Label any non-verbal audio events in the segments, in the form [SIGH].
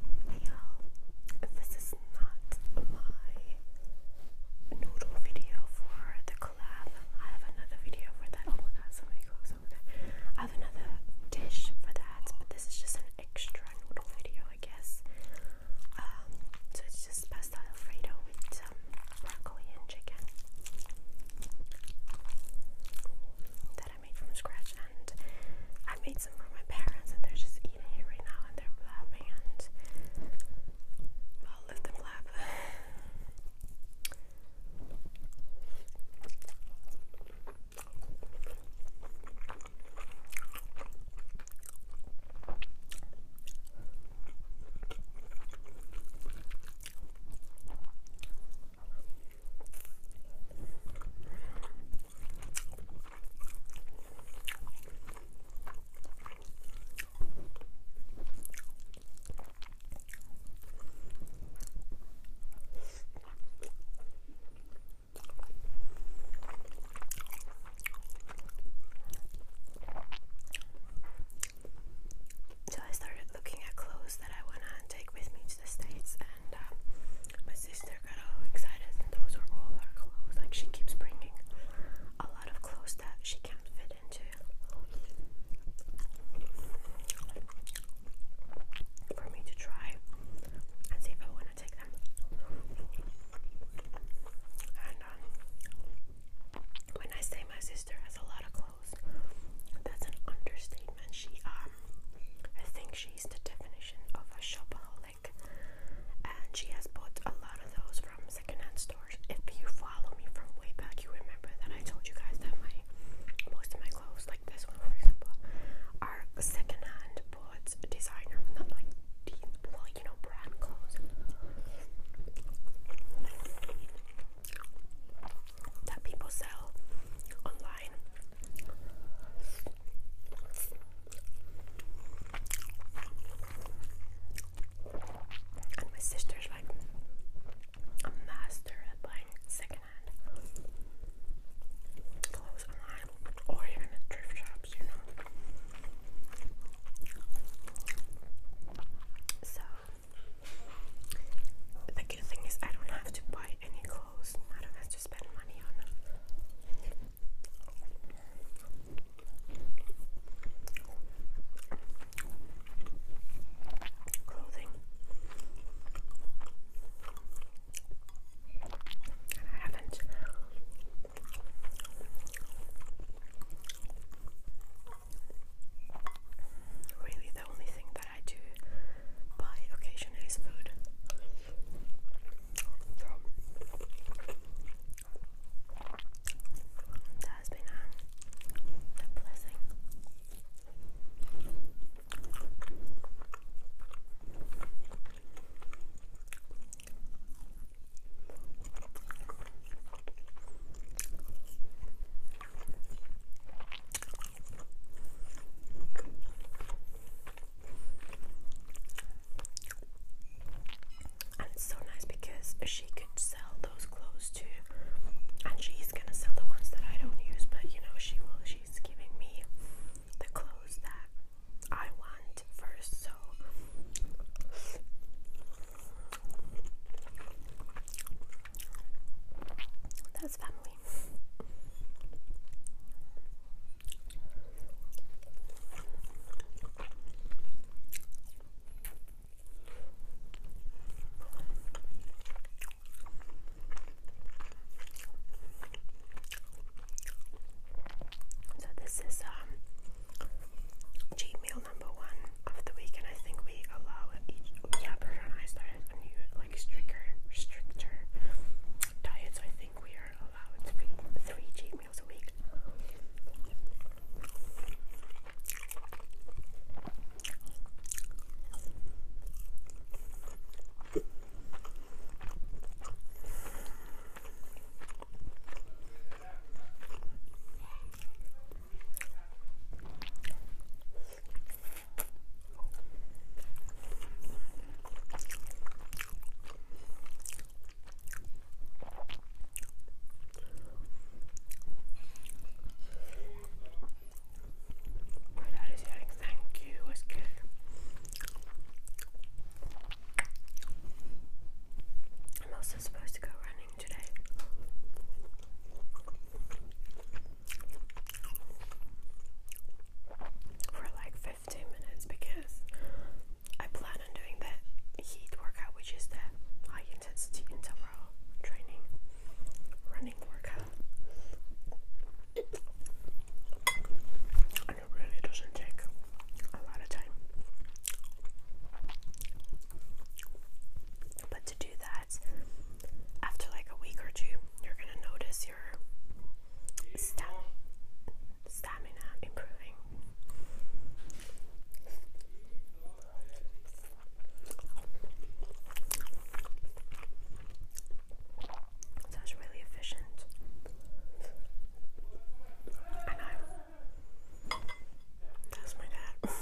Y'all, this is not my noodle video for the collab. I have another video for that. Oh my god, so many clothes over that. I have another dish for that, but this is just an extra noodle video, I guess. Um, so it's just pasta alfredo with broccoli and chicken I made from scratch, and I made some for my parents, and they're just eating it right now, and they're blabbing, and I'll let them blab. So I started looking at clothes that I want to take with me to the States, and um, my sister got all excited, and those are all her clothes. Like she keeps bringing a lot of clothes that she can't fit into. For me to try and see if I want to take them. And um, when I say my sister has a lot of clothes, that's an understatement. She, um, I think she's the definition of a shopaholic, and she has bought a lot of those from secondhand stores. If you follow me from way back, you remember that I told you guys that my most of my clothes, like this one for example, are secondhand, bought designer, not like the well, you know, brand clothes. That people sell online. And my sister's like a master at buying secondhand clothes online or even at thrift shops, you know. So the good thing is I don't have to buy any clothes clothes. I don't have to spend money on them. Clothing. And I haven't. Really, the only thing that but I do buy occasionally is food that has been a blessing. And it's so nice because she could sell those clothes too. And she's gonna sell the ones that I don't use, but you know, she will. She's giving me the clothes that I want first, so. That's family. So this is um G meal number one of the week, and I think we allow each. Yeah, Berger and I started a new, like, stricter, stricter diet, so I think we are allowed three, three cheat meals a week. My dad thank you, it's good. I'm also supposed to go running. For like 15 minutes because I plan on doing that heat workout, which is the high intensity interval training running workout. And it really doesn't take a lot of time. But to do that, after like a week or two, you're gonna notice your stam stamina improving. So it's really efficient. I'm that's my dad.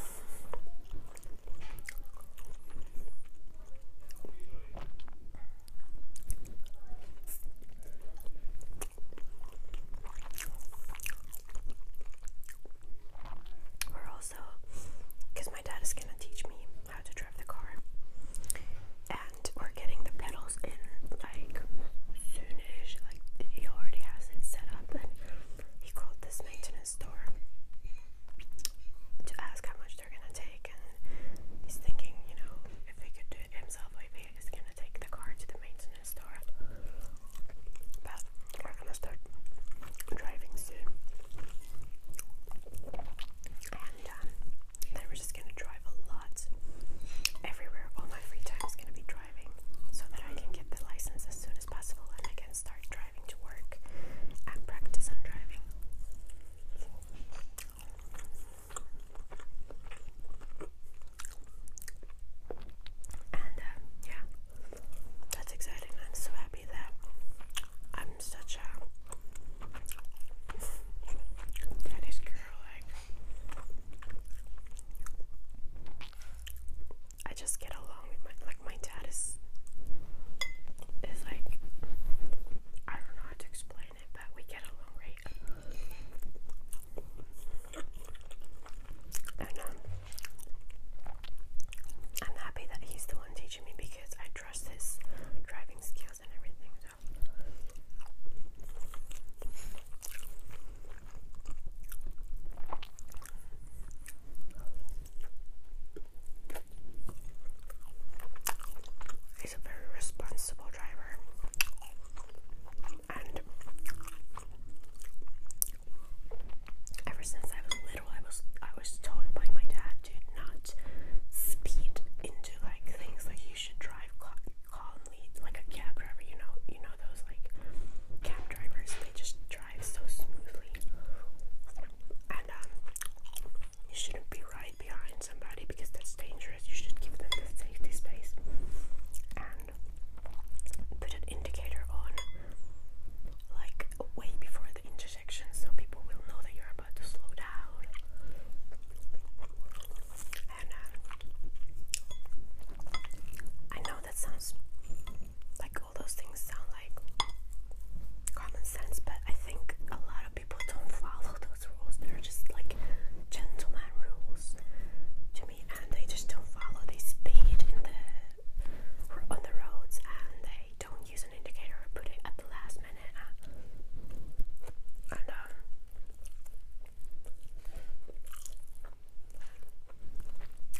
Or also, because my dad is gonna teach me how to drive the car, and we're getting the pedals in like soonish. Like he already has it set up, he called this maintenance store to ask how much they're gonna take, and he's thinking, you know, if he could do it himself, if he is gonna take the car to the maintenance store. But we're gonna start driving soon, and um, then we're just gonna drive a lot everywhere. All my free time is gonna be driving driving so that I can get the license as soon as possible and I can start driving to work and practice on driving. And um, yeah, that's exciting. I'm so happy that I'm such a daddy's girl. Like, I just get along with my like my dad is is like I don't know how to explain it, but we get along right. Um, I'm happy that he's the one teaching me because I trust his driving skills and everything so He's a very responsible driver, and ever since I was little, I was I was told by my dad to not speed into like things like you should drive calm, athlete, like a cab driver. You know, you know those like cab drivers. They just drive so smoothly, and um, you shouldn't be right behind somebody because that's dangerous. You should give them the safety space and put an indicator on, like way before the intersection, so people will know that you're about to slow down and uh, I know that sounds like all those things sound like common sense, but I think a lot of people don't follow those rules. They're just like gentleman rules to me, and they just don't follow. They speed in the on the roads, and they don't use an indicator put it at the last minute. and um,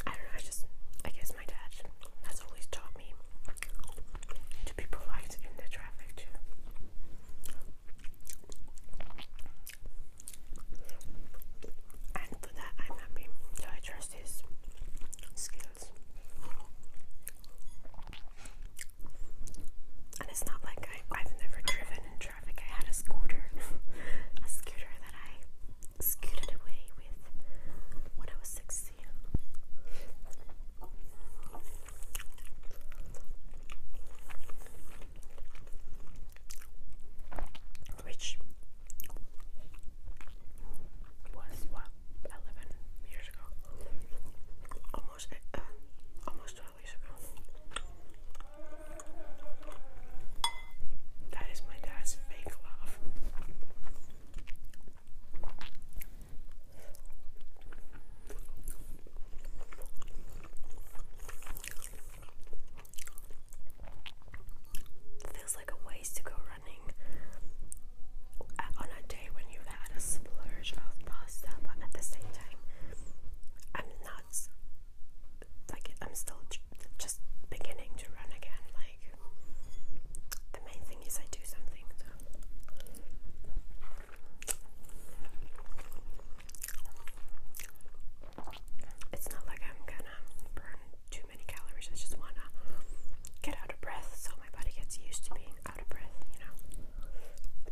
I don't know, I just, I guess my dad has always taught me to be polite in the traffic And for that, I'm happy. So I trust his skills. And it's not like I've never driven traffic. I had a scooter, [LAUGHS] a scooter that I scooted away with when I was 16. Which was what 11 years ago, almost, uh, almost that is my dad's fake love. Feels like a waste to go running on a day when you've had a splurge of pasta, but at the same time, I'm not like I'm still just beginning to run again. Like the main thing is I do something. It's not like I'm gonna burn too many calories. I just wanna get out of breath so my body gets used to being out of breath, you know.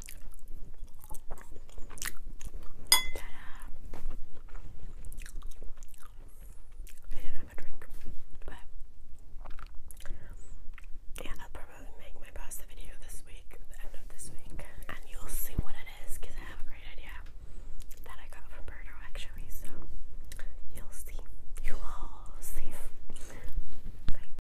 I didn't um, have a drink, but yeah, I'll probably make my pasta video this week, end of this week, and you'll see what it is because I have a great idea that I got from Birdo actually. So you'll see, you all see.